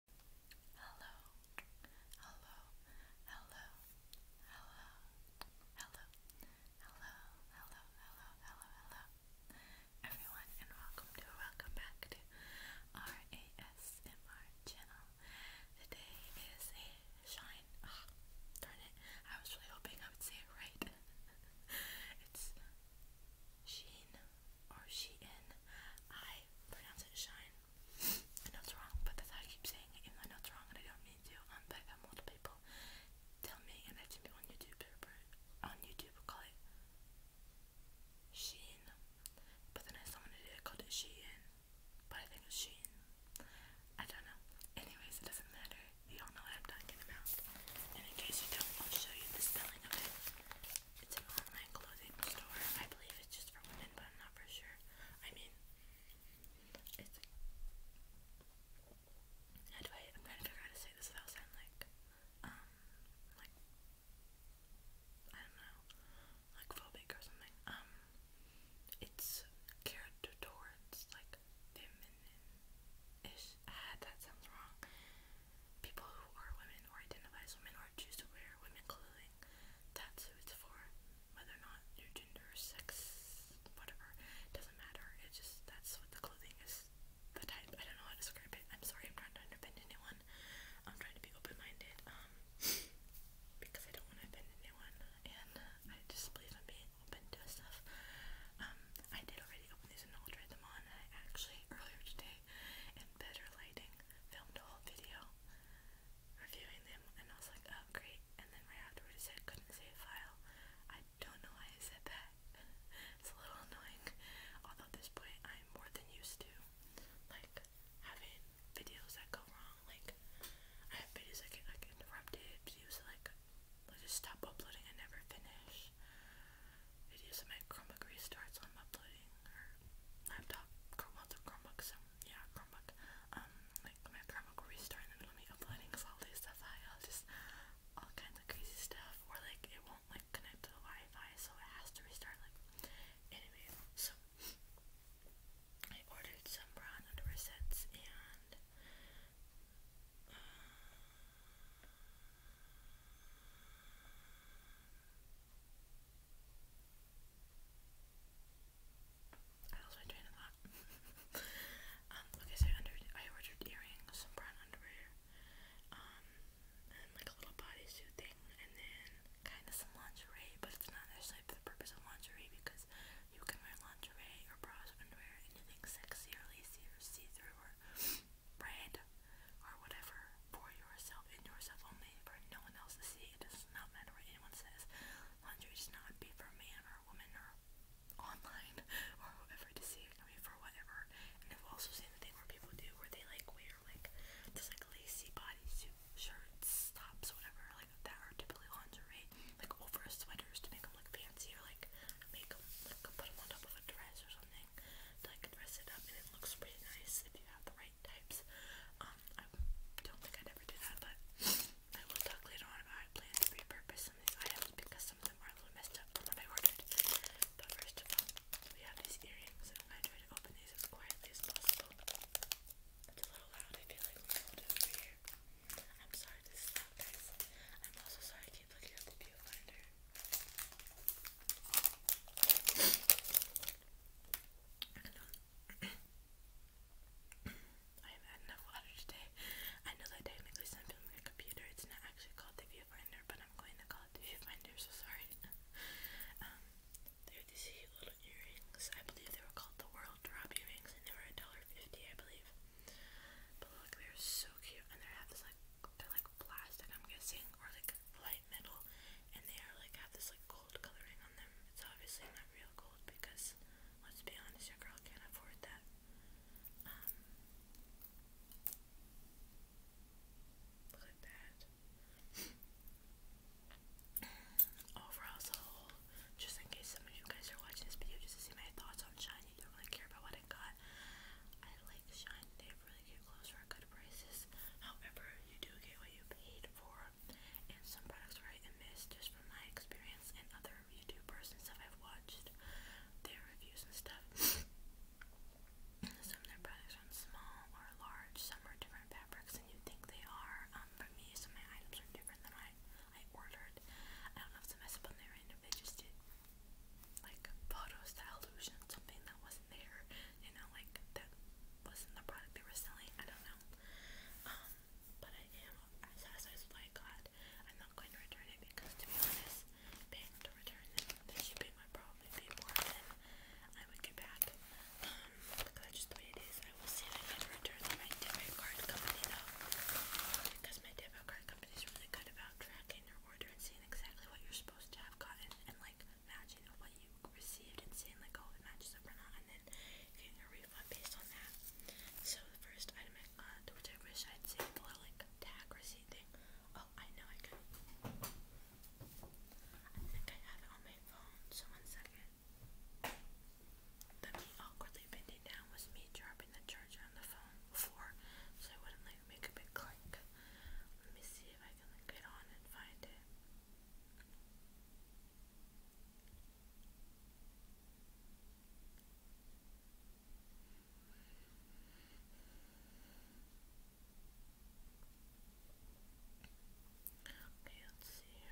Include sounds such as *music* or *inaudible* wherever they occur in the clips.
Hello, hello, hello, hello, hello, hello, hello, hello, hello, hello, everyone, and welcome to welcome back to our ASMR channel. Today is shine. Oh, it! I was really hoping I would say it right. *laughs* it's Sheen or Shein. I pronounce it Shine. I know it's wrong, but that's how I keep saying it. Even though I know it's wrong and I don't mean to. Um, but I've had multiple people tell me, and I've seen people on YouTube on YouTube call it Shein. But then I saw someone who did it called it Shein. But I think it's Shein. I don't know. Anyways, it doesn't matter. You do know what I'm talking about. And in case you don't, I'll show you the spelling of it. It's an online clothing store. I believe it's just for women, but I'm not for sure. I mean, it's. How I? am trying to figure out to say this without sounding like, um, like I don't know, like phobic or something. Um, it's geared towards like feminine-ish. Ah, that sounds wrong people who are women or identify as women or choose to wear women clothing. That's who it's for. Whether or not your gender, sex, whatever, doesn't matter. It's just that's what the clothing is. The type. I don't know how to describe it. I'm sorry. I'm trying to offend anyone. I'm trying to be open-minded. Um, because I don't want to offend anyone, and I just believe in being open to stuff. Um, I did already open these and I'll try them on. And I actually earlier today in better lighting, filmed a whole video reviewing them, and I was like, oh great, and then right afterward it said couldn't save file. I don't know why I said that. *laughs* it's a little annoying, although at this point I'm more than used to, like, having videos that go wrong, like, I have videos that get, interrupted, videos like, like, just stop uploading and never finish videos of my Chromebook restarts I'm uploading laptop Chromebook Chromebook so yeah Chromebook um like my Chromebook will restart in the middle uploading all this stuff I just all kinds of crazy stuff or like it won't like connect to the Wi-Fi so it has to restart like anyway so I ordered some brown underwear sets and uh, I lost my train of *laughs* um, okay, so under I ordered earrings, some brown underwear, um, and like a little bodysuit thing, and then kind of some lingerie, but it's not necessarily the purpose of lingerie because you can wear lingerie or bras or underwear anything sexy or lacy or see-through or bread or whatever for yourself and yourself only for no one else to see. It does not matter what anyone says. Laundry should not be for a man or a woman or online *laughs* or whoever to see. It can be for whatever. And I've also seen the thing where people do where they like wear like just like lacy bodysuit shirts, tops, whatever, like that are typically lingerie, like over sweaters to make them look fancy or like make them like put them on top of a dress or something something I dress it up and it looks pretty nice if you have the right types. Um, I don't think I'd ever do that, but I will talk later on about how to repurpose some of these items because some of them are a little messed up from what I ordered. But first of all, we have these earrings, I'm going these as quietly possible. It's a little loud, I feel like we hold it over here. I'm sorry this is loud, guys. I'm also sorry I keep looking at the viewfinder. I have had enough water today. I know that technically I'm filming a computer, it's not actually called the viewfinder, but I'm going to call it the viewfinder, so sorry. *laughs* um, these cute little earrings. I believe they were called the World Drop earrings, and they were $1.50, I believe. But look, they're so cute, and they have this like, they're like plastic, I'm guessing, or like metal and they are like have this like gold coloring on them. It's obviously not real gold because let's be honest, your girl can't afford that. Um, look at that. *clears throat* Overall as whole, just in case some of you guys are watching this video just to see my thoughts on shiny, you don't really care about what I got. I like shine, really get clothes for good prices. However, you do get what you paid for, and some products were hit and miss. Just from my experience and other YouTubers and stuff I've watched, their reviews and stuff. some of their products aren't small or large. Some are different fabrics than you think they are. Um, for me, some of my items are different than I I ordered. I don't know if it's a mess up on their end if they just did like photos that illusion something that wasn't there you know, like that wasn't the product they were selling. I don't know. Um, but I am as I was like, God, I'm not going to return it because to be honest, paying to return them, the shipping would probably be more than I would get back. Um, because that's just the way it is. I will see if I can return to my debit card company though. Because my debit card company is really good about tracking your order and seeing exactly what you're supposed to have gotten and like matching what you received and seeing like oh it matches up or not and then getting a refund based on that. So the first item uh, which I wish I'd saved the little like tag receipt thing. Oh, I know I could. I think I have it on my phone. So one second. That me awkwardly bending down was me dropping the charger on the phone before, so I wouldn't like make a big click. Let me see if I I Okay, let's see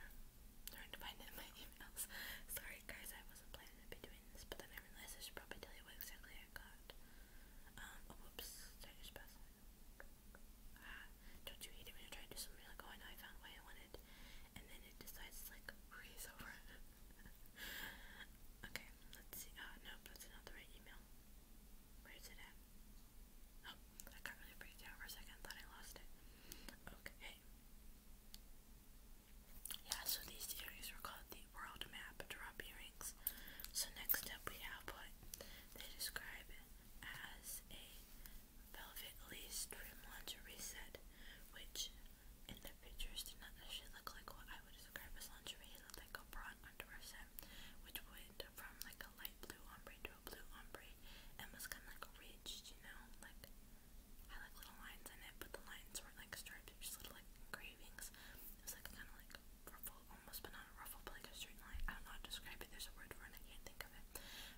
Trying to find it in my *laughs* emails. Sorry guys, I wasn't planning to be doing this, but then I realized I should probably tell you what exactly I got. Um, oh whoops, don't you hate it when you try to do something like, oh, I know I found what I wanted, and then it decides like, breeze over. *laughs* okay, let's see. Ah, uh, that's not the right email. Where is it at? Oh, I got really freaked out for a second. Thought I lost it. Okay. Yeah, so these series were called the World Map Drop Earring so next up we have what they describe as a velvet lace trim lingerie set, which in the pictures did not necessarily look like what I would describe as lingerie. It looked like a broad underwear set, which went from like a light blue ombre to a blue ombre, and was kind of like a ridged, you know, like had like little lines in it, but the lines weren't like stripes, just little like engravings. It's like kind of like ruffle, almost, but not a ruffle, but like a certain light. I am not describing it. There's a word for it. I can't think of it.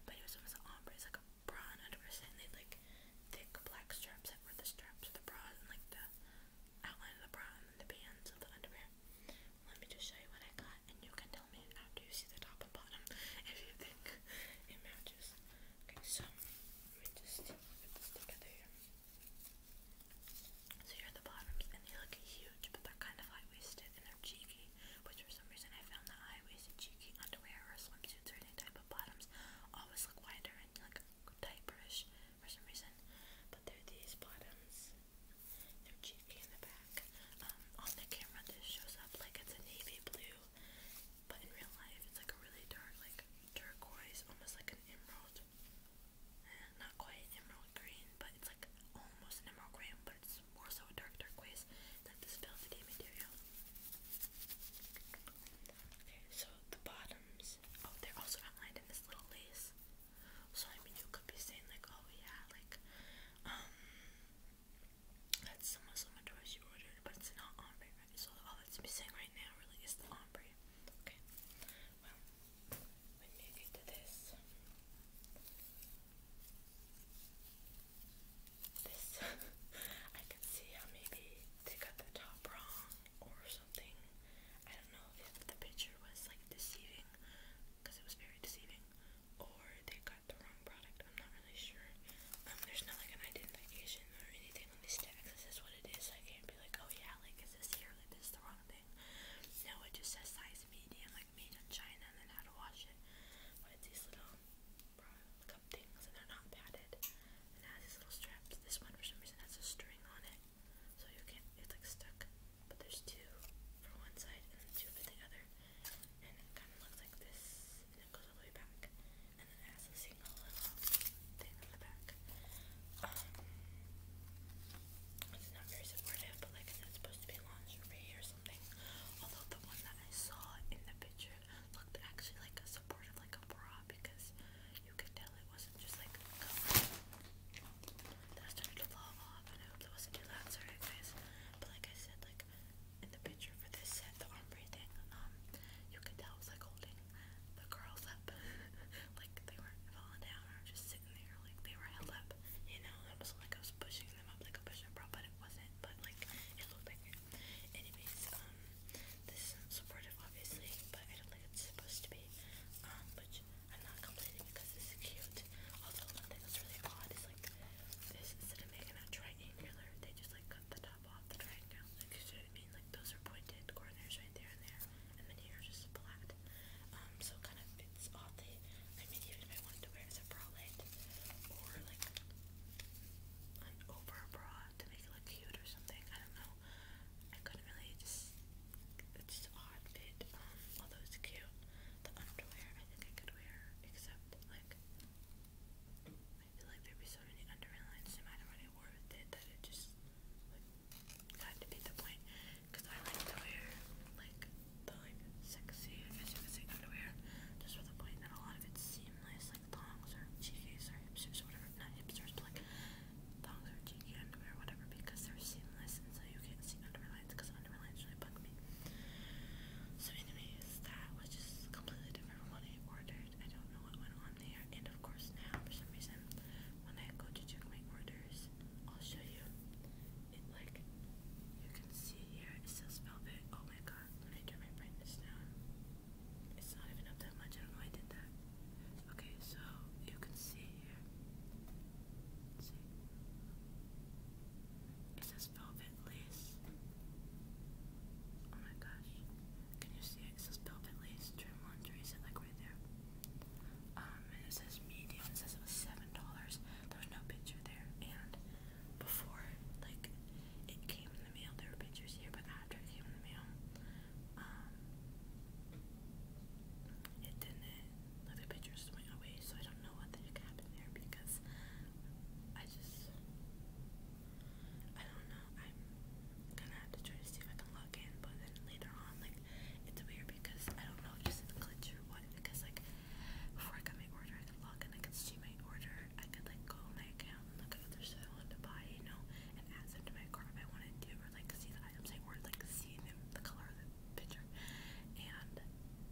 But it was almost ombre. It's like a bra and and they like thick black straps that were the straps of the bra and like the outline of the bra and the bands of the underwear. Let me just show you what I got, and you can tell me after you see the top and bottom *laughs* if you think it matches. Okay, so let me just put this together here. So here are the bottoms, and they look huge, but they're kind of high-waisted and they're cheeky, which for some reason I found that high-waisted cheeky underwear or swimsuits or any type of bottoms always look wider and like tight brush for some reason. But they're these bottoms. They're cheeky in the back. Um, on the camera this shows up like it's a navy blue, but in real life it's like a really dark, like turquoise, almost like an emerald almost eh, not quite emerald green, but it's like almost an emerald green, but it's more so a dark, dark waste. It's like this velvety material. Okay, so the bottoms, oh, they're also outlined in this little lace. So I mean, you could be saying like, oh yeah, like, um, that's similar to what you ordered, but it's not ombre, So all that's missing right now really is the ombre. Okay. Well, when we to this, this *laughs* I can see how maybe they got the top wrong or something. I don't know if the picture was like deceiving, because it was very deceiving, or they got the wrong product. I'm not really sure. Um, there's not like an identification or anything on these tags. This is what it is. I can't be like, oh yeah, like says this here, like this is the wrong thing. No, it just says size medium, like made in China, and then how to wash it. But it's these little cup things, and they're not padded. And it has these little straps. This one, for some reason, has a string on it, so you can't, it's like stuck. But there's two for one side and then two for the other. And it kind of looks like this, and it goes all the way back. And then it has a single little thing on the back. Um, it's not very supportive, but like it's supposed to be lingerie or something. Although the one that I saw in the picture looked actually like a supportive, like a bra, because you could tell it wasn't just like That started to fall off, and I hope that wasn't too loud. Sorry, guys. But like I said, like in the picture for this set, the ombre thing, um, you could tell it was like holding the girls up. *laughs* like they were falling down or just sitting there. Like they were held up. You know, it was like I was pushing them up like a push-up bra, but it wasn't. But like it looked like Anyways, um, this is supportive, obviously, but I don't think it's supposed to be. Um, which I'm not complaining because it's cute. Although one thing that's really odd is like this instead of making a triangular, they just like cut the top off the triangle mean? Like those are pointed corners right there and there, and then here just flat. Um, so kind of fits all the. I mean, even if I wanted to wear a bralette or like an over bra to make it look cute or something, I don't know. I couldn't really just. It's just odd fit. Um, although it's cute, the underwear I think I could wear, except like. I feel like there be so many underlines no matter what I wore with it that it just Got to beat the point because I like to wear like the like sexy, I guess you underwear just with a point and a lot of it's seamless like thongs or cheekies or hipsters or whatever. Not hipsters but like thongs or cheeky underwear whatever because they're seamless and so you can't see underwear because underwear really bug me. So anyways, that was just completely different from what I ordered. I don't know what went on and of course now for some reason when I go to check my orders, I'll show you. like you can see here it says velvet. Oh my god! Let me turn my brightness down. It's not even up that much. I don't know why I did that. Okay, so you can see here. Let's see. It says velvet lace. Oh my gosh. Can you see it? It says velvet lace trim lingerie. Is like right there? Um, it says medium. It says it was seven dollars. There was no picture there. And before, like, it came in the mail, there were pictures here. But after it came in the mail, um, it didn't. Like the pictures went away. So I don't know what the heck happened there because I just, I don't know. I'm gonna have to try to see if I can log in. But then later on, like, it's weird because I don't know if it's in glitch or what. Because like before I got my order, I could log in, I could see my order, I could like go on my account and look at other stuff I wanted to buy, you know, and add them to my cart if I wanted to, or like see the items I ordered, like see them, the color of the picture. And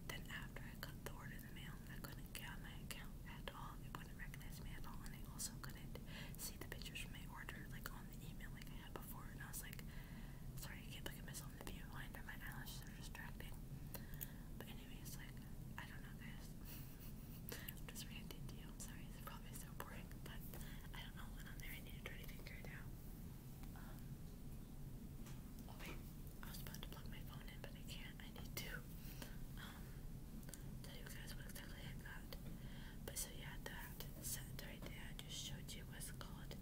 then after I got the order in the mail, I couldn't get on my account at all. It wouldn't recognize me at all, and I also couldn't see the pictures from my order like on the email like I I had before, and I was like, sorry, I can't look at myself in the viewfinder, my eyelashes are distracting. But anyways, like, I don't know guys, *laughs* just ranting to I'm sorry, it's probably so boring, but I don't know what on there, I need to try it out. Um, wait, I was about to plug my phone in, but I can't, I need to, um, tell you guys what exactly I got. But so yeah, that set right there I just showed you what's called the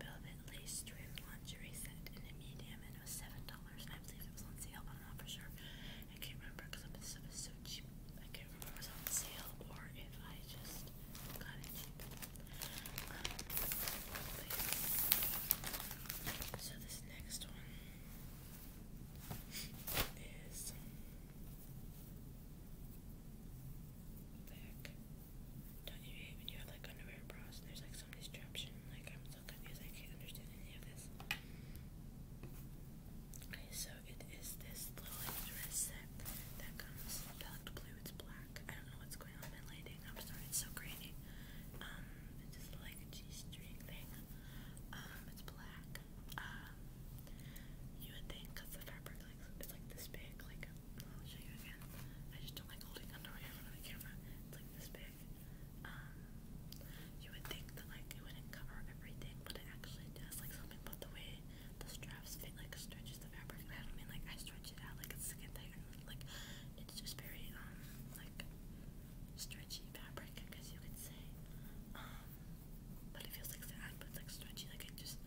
velvet lace trim lingerie set in a medium, and it was seven dollars. I believe it was on sale, but not for sure. I can't remember because this stuff is so cheap. I can't remember was on sale or if I just got it cheap. Um, so this next one. Don't you hate you have like underwear bras and there's like some distraction? Like I'm so confused, I can't understand any of this. Okay, so it is this little dress set that comes packed blue, it's black. I don't know what's going on in lighting. I'm sorry, so grainy. Um, it's like a G string thing. Um, it's black. Um, you would think, the fabric like it's like this big, like I'll show you again. I just don't like holding underwear in front of the camera. It's like this big. Um, you would think that like it wouldn't cover everything, but it actually does. Like something about the way the straps fit, like stretches the fabric. I don't mean like I stretch it out like it's skin tight. Like it's just very um like stretchy fabric, I guess you could say. Um, but it feels like it's like stretchy. Like it just,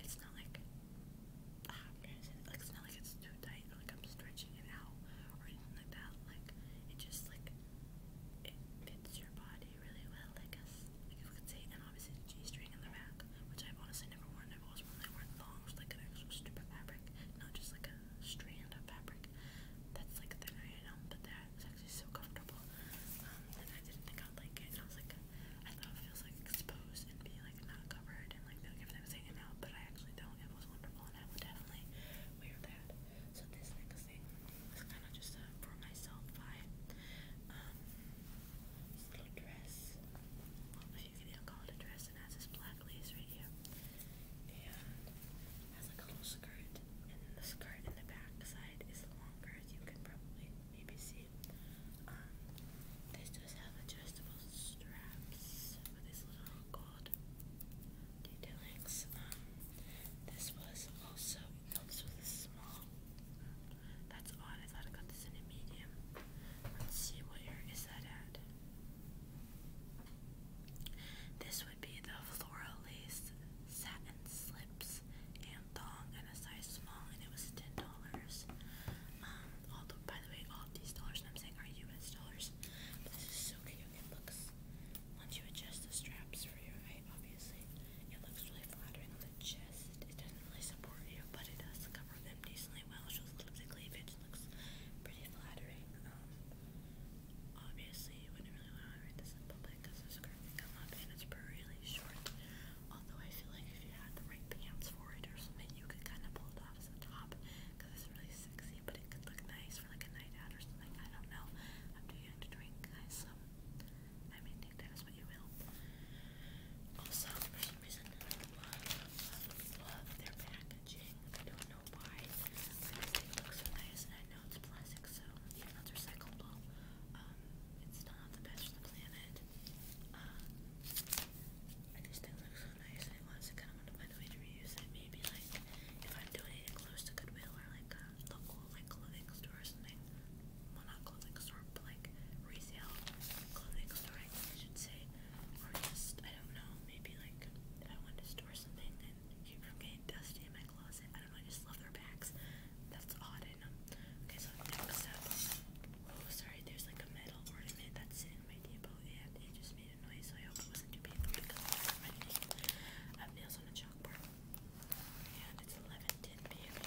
it's not like, ah, it's not like it's too tight like I'm stretching it out or anything like that. Like it just like it fits your body really well, I guess. Like you could say, and obviously the G-string in the back, which I've honestly never worn. I've always worn like worn thongs, like an actual strip of fabric, not just like a strand of fabric fabric that's like thin I know, but that is actually so comfortable. Um, and I didn't think I'd like it. I was like, I thought it feels like exposed and be like not covered and like feel like everything's hanging out, but I actually don't. It was wonderful, and I would definitely wear that. So this next thing is kind of just for myself vibe. Um, little dress. if you can even call it a dress, and has this black lace right here. And has like a little skirt, and the skirt in the back is longer, as you can probably maybe see. Um, just have adjustable straps with these little gold detailings. Um, this was also no, this was a small. That's odd. I got this in a medium. Let's see what here is that at. This would be the floral lace satin slips and thong and a size small and it was ten dollars. Um by the way all these dollars I'm saying are US dollars. this is so cute. It looks once you adjust the straps for your height obviously it looks really flattering on the chest. It doesn't really support you but it does cover them decently well. shows a little bit looks pretty flattering. Um, Obviously, you wouldn't really want to read this in public because the skirt can come up and it's really short. Although I feel like if you had the right pants for it or something, you could kind of pull it off as a top because it's really sexy, but it could look nice for like a night out or something. I don't know. I'm too young to drink, guys, so I mean, take that as what you will. Also, for some reason, I love, love, love their packaging. I don't know know why, but this thing looks so nice, and I know it's plastic, so even though it's recyclable, um, it's not the best for the planet. Um, I just think it looks so nice, and I honestly kind of want to find a way to reuse it. Maybe, like, if I'm donating clothes to Goodwill or, like, a uh, local, like, clothing store or something. Well, not clothing store, but, like, resale clothing store, I should say. Or just, I don't know, maybe, like, if I want to store something, I keep from getting dusty in my closet. I don't know, I just love their bags. That's odd Okay, so next up, oh sorry, there's like a metal ornament that's in my depot and it just made a noise, so I hope it wasn't too painful because it reminded nails on a chalkboard. And it's 11:10 p.m.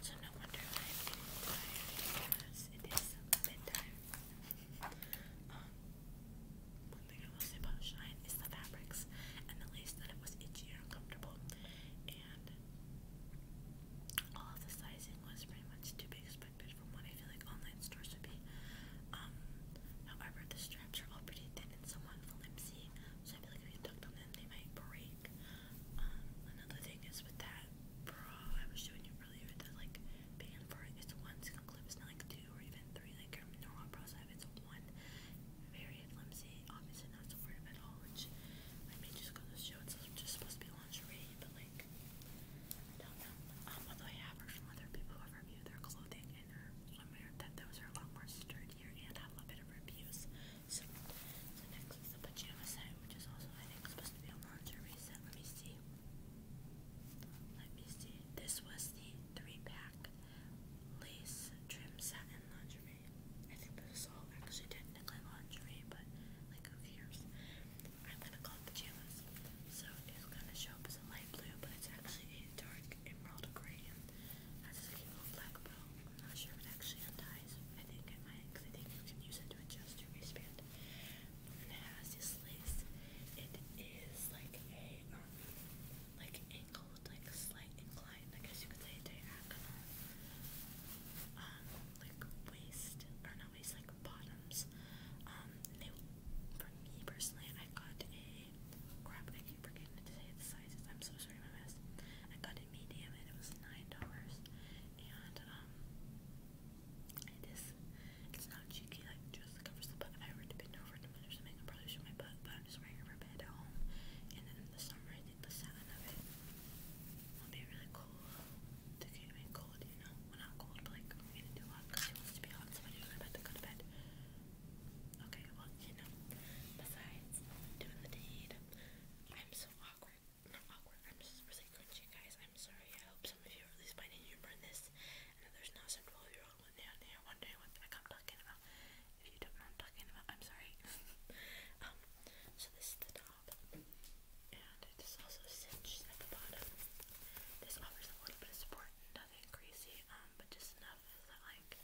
So no wonder I'm getting tired it is bedtime only thing I will say about Shine is the fabrics and the lace that it was itchy and uncomfortable. And all of the sizing was pretty much to be expected from what I feel like online stores would be. Um, however, the straps are all pretty thin and somewhat flimsy, so I feel like if you tucked on them, they might break. Um, another thing is with that bra I was showing you earlier, the like band for it, it's one single clip, it's not like two or even three like your normal brows have. It's one very flimsy, obviously not supportive at all, which I mean just goes to show it's just supposed to be lingerie, but like don't know. Um, although I have heard from other people who have reviewed their clothing and their swimwear that those are a lot more sturdier and have a bit of abuse. So, next is the pajama set, which is also I think supposed to be lingerie Let me see. Let me see. This was the three pack lace, trim, satin, lingerie. I think this is all actually technically lingerie, but like who cares? I'm gonna call it pajamas. So it's gonna show up as a light blue, but it's actually a dark emerald gray and has cute little black not sure if it actually unties. I think it might, I think you can use it to adjust your waistband. it has this lace. It is like a like angled, like slight incline. I guess you could say diagonal, um, like waist or not waist, like bottoms. Um, they for me personally, I got a crap. I keep forgetting to say the sizes. I'm so sorry, my mess. I got a medium, and it was nine dollars. And um, it is it's not cheeky, like just covers the butt. If I were to bend over to bend or something, I'd probably show my butt, but I'm just wearing a ribbon at home. And then in the summer, I think the satin of it will be really cool to get me cold, you know? Well, not cold, but like I'm gonna do hot because it wants to be hot, so I do about to go to bed. Okay, well, you know, besides doing the deed, I'm so awkward. Not awkward, I'm just really cringy, guys. I'm sorry. I hope some of you are at least finding humor in this and that there's not some 12 year probably down wondering what I'm talking about. If you don't know what I'm talking about, I'm sorry. *laughs* Um, so this is the top, and it is also cinched at the bottom. This offers a little bit of support, nothing crazy, um, but just enough that like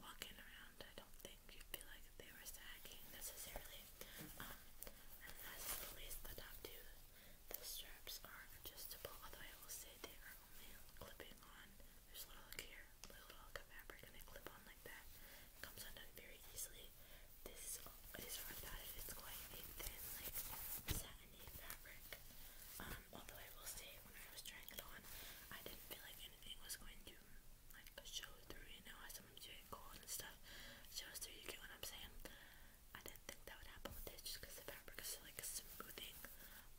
walking around, I don't think you feel like they were sagging necessarily. Um, and that's the top too. The straps are adjustable, although I will say they are only clipping on. There's a little here, little hunk of fabric, and they clip on like that. It comes undone very easily. This is for that if it's quite a thin, like satiny fabric. Um, although I will say, when I was trying it on, I didn't feel like anything was going to like show through. You know, I I'm doing cold and stuff, shows through. You get what I'm saying? I didn't think that would happen with this just because the fabric is like smoothing,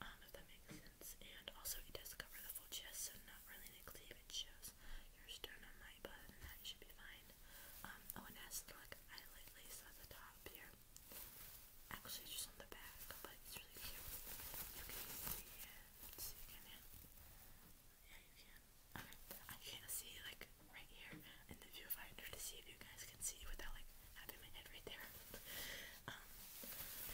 um, if that makes sense. And also, it does cover the full chest, so not really an cleave. It shows your sternum height, but other than that, you should be fine. Um, oh, and it has the like eyelid lace at the top here. Actually, it's just on the back, but it's really cute. You can see it. See, can you? Yeah, you can. Okay, I can't see like right here in the viewfinder to see if you guys can see without like having my head right there. *laughs* um,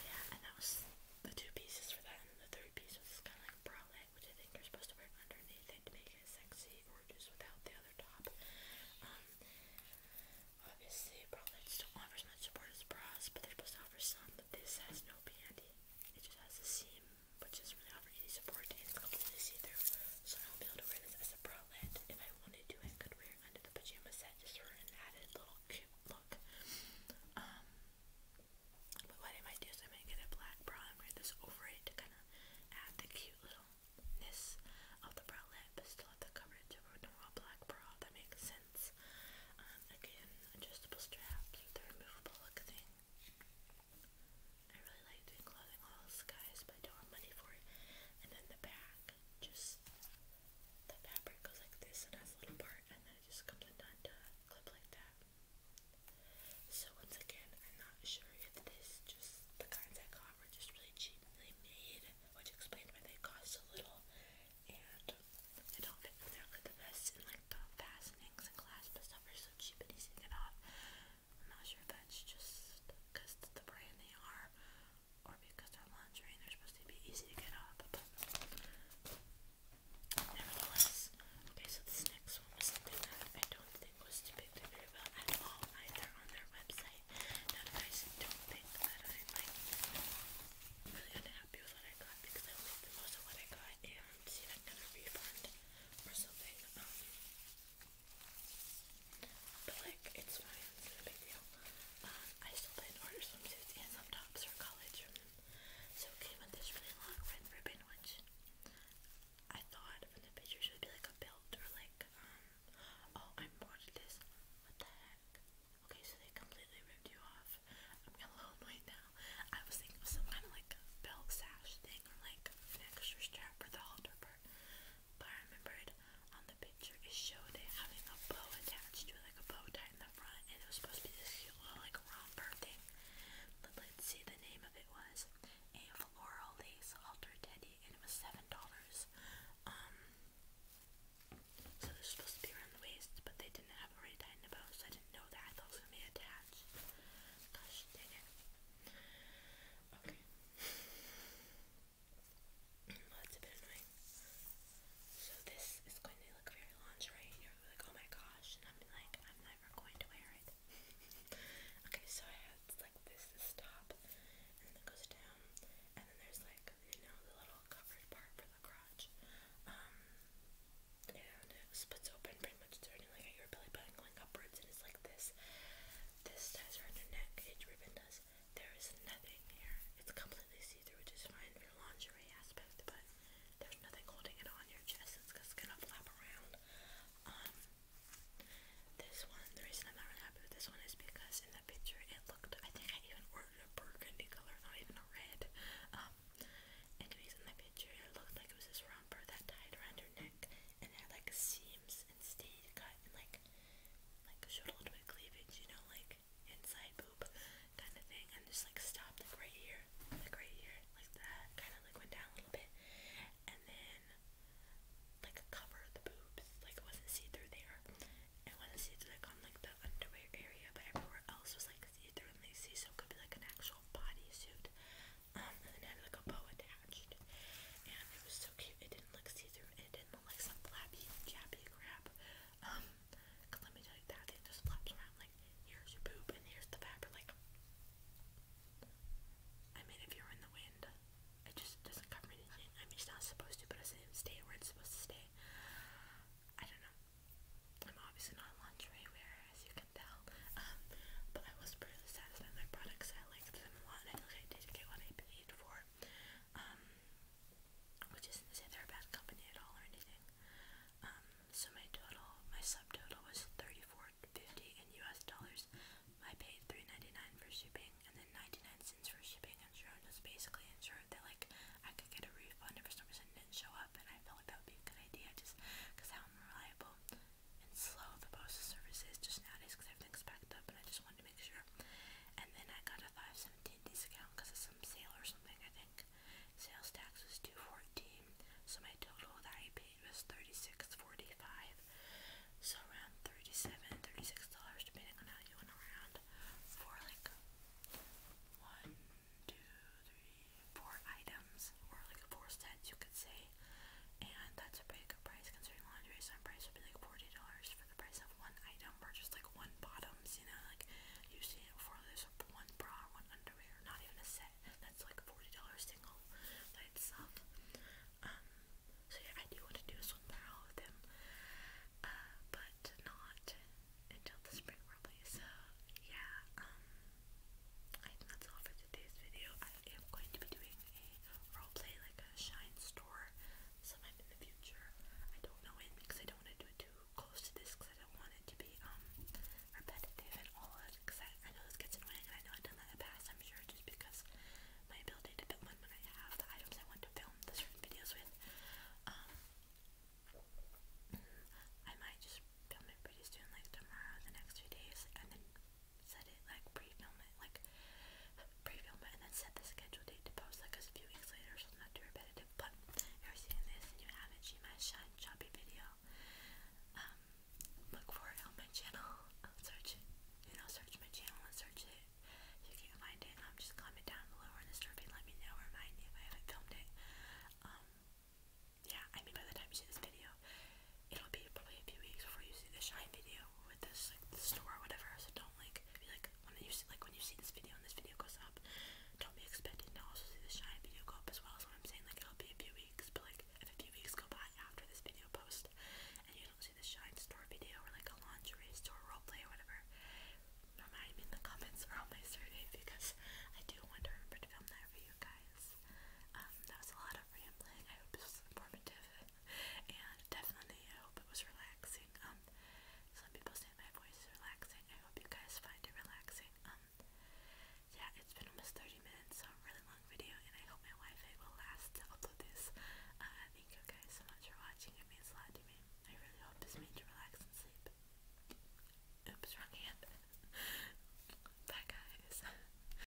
yeah, and that was the two pieces for that, and the third piece was kind of like a bralette, which I think you're supposed to wear underneath it to make it sexy, or just without the other top. Um, obviously, bralettes don't offer as much support as bras, but they're supposed to offer some. But this has no panty; it just has a seam, which doesn't really offer any support, and it's completely see-through, so I won't be able to wear this as a bralette. If I wanted to, I could wear it under the pajama set just for an added little cute look. Um, but what I might do is I might get a black bra and wear this over it to kind of add the cute littleness of the bralette, but still have the coverage of a normal black bra. That makes sense. Um, again, adjustable straps the removable look thing. I really like doing clothing hauls, guys, but I don't have money for it. And then the back, just the fabric goes like this and has a little part, and then it just comes undone to clip like that. So once again, I'm not sure if this just the kinds I got were just really cheaply made, which explains why they cost so little. And I don't think exactly the best, and like the fastenings and clasps and stuff are so cheap and easy to get off. I'm not sure if that's just because the brand they are or because they're they're supposed to be easy to get off, but nevertheless. Okay, so this next one was something that I don't think was depicted very well at all either on their website. Now, you guys don't think that I'm really unhappy with what I got because I only most of what I got and see that kind of refund or something. Um, but like, it's fine, it's not big deal. Um, I still did order swimsuits and some for college. So it with this really long red ribbon, which I thought from the picture would be like a belt or like, um, oh, I'm bored this. What the heck? Okay, so they completely ripped you off. I'm a little annoyed now. I was thinking some kind of like belt sash thing or like an extra strap for the halter, remember. But I remembered on the picture it showed it having a bow attached to it, like a bow tie in the front, and it was supposed to be this cute little like romper thing. But let's see the name of it was a floral lace halter teddy, and it was seven dollars. Um, so this was supposed to be around the waist, but they didn't have it already tied in a bow, so I didn't know that. I thought it was gonna be attached. Gosh dang it. Okay. Well, that's a bit annoying. So this is going to look very lingerie and you're like, oh my gosh, and I'm like, I'm never going to wear it. *laughs* okay, so I have it's like this is top and then it goes down and then there's like, you know, the little covered part for the crotch. Um and it splits open pretty much starting like at your belly button going upwards and it's like this. This ties around your neck, each ribbon does. There is nothing here. It's completely see-through, which is fine for lingerie aspect, but there's nothing holding it on your chest. It's just gonna flap around. Um, this one, the reason I'm not really happy with this one is because in the picture it looked, I think I even ordered a burgundy color, not even a red. Um, anyways, in the picture it looked like it was this romper that tied around your neck and had like seams instead cut and like like showed a little bit of cleavage, you know, like inside boob kind of thing, and just like stopped like right here, like right here, like that, kind of like went down a little bit, and then like covered the boobs, like it wasn't see through there. It wasn't see through like on like the underwear area, but everywhere else was like see through and they see, so it could be like an actual bodysuit. Um, and then had like a bow attached, and it was so It didn't look see-through. It didn't look like some flappy, jappy crap. Um, cause let me tell you that thing just flaps around like here's your poop and here's the fabric. Like, I mean, if you're in the wind, it just doesn't cover anything. I mean, it's not supposed to, but it doesn't stay where it's supposed to stay. I don't know. I'm obviously not lingerie wearer, as you can tell. Um, but I was pretty satisfied with my products. I liked them a lot and I think I did get what I paid for. Um, which isn't to say they're a bad company at all or anything. Um, so my total, my subtotal was thirty-four fifty in U.S. dollars. I paid three ninety-nine for shipping and then ninety-nine cents for shipping. And Sharon was basically insured that like I could get a refund if for some reason it didn't show up, and I felt like that would be a good idea just because how unreliable and slow the postal service is just nowadays because everything's backed up and I just wanted to make sure. And then I got a 517 discount because of some sale or something, I think. Sales tax was 214 so my total that I paid was $36.45. So around $37, $36 depending on how you went around for like one, two, three, four items or like four sets you could say and that's a pretty good price considering lingerie some price would be like $40 for the price of one item or just like one bottoms, you know, like you see it before, there's one bra, one underwear, not even a set, that's like $40 single by um, so yeah, I do want to do a swim barrel with them, uh, but not until the spring probably, so yeah, um, I think that's all for today's video, am going to be doing a roleplay, like a shine store, sometime in the future. I don't know it because I don't want to do it too close to this because I don't want it to be um, repetitive and all that. because I, know this gets annoying and I know I've done that in the past, I'm sure, just because my ability to film when I have the items I want to film the certain videos with. Um, I might just film it pretty soon, like tomorrow, the next few days, and then set it like pre-film it like pre-film it and then set the scheduled date to post like a few weeks later so it's not too repetitive but if you're seeing this and you haven't seen my shine video um look for it on my channel search you know search my channel and search it if you can't find it um just comment down below in the survey let me know remind me if I filmed it um yeah I mean by the time you see this video it'll be probably a few weeks before you see the shine video with this like the store or whatever. So don't like be like when you see like when you see this video and this video goes up, don't be expecting to also see the shine video go up as well. So I'm saying like it'll be a few weeks, but like if a few weeks go by after this video post and you don't see the shine store video or like a lingerie store role play or whatever, remind me in the comments or on my survey because I do want to remember to film that for you guys. Um, that was a lot of rambling. I hope this was informative and definitely I hope it was relaxing. Um, some people say my voice is relaxing. I hope you guys find it relaxing. Um, yeah, it's been almost 30 minutes, so a really long video, and I hope my wi will last to upload this. Uh, thank you guys so much for watching. It means a lot to me. I really hope this made you relax and sleep. Oops, wrong hand. *laughs* Bye, guys.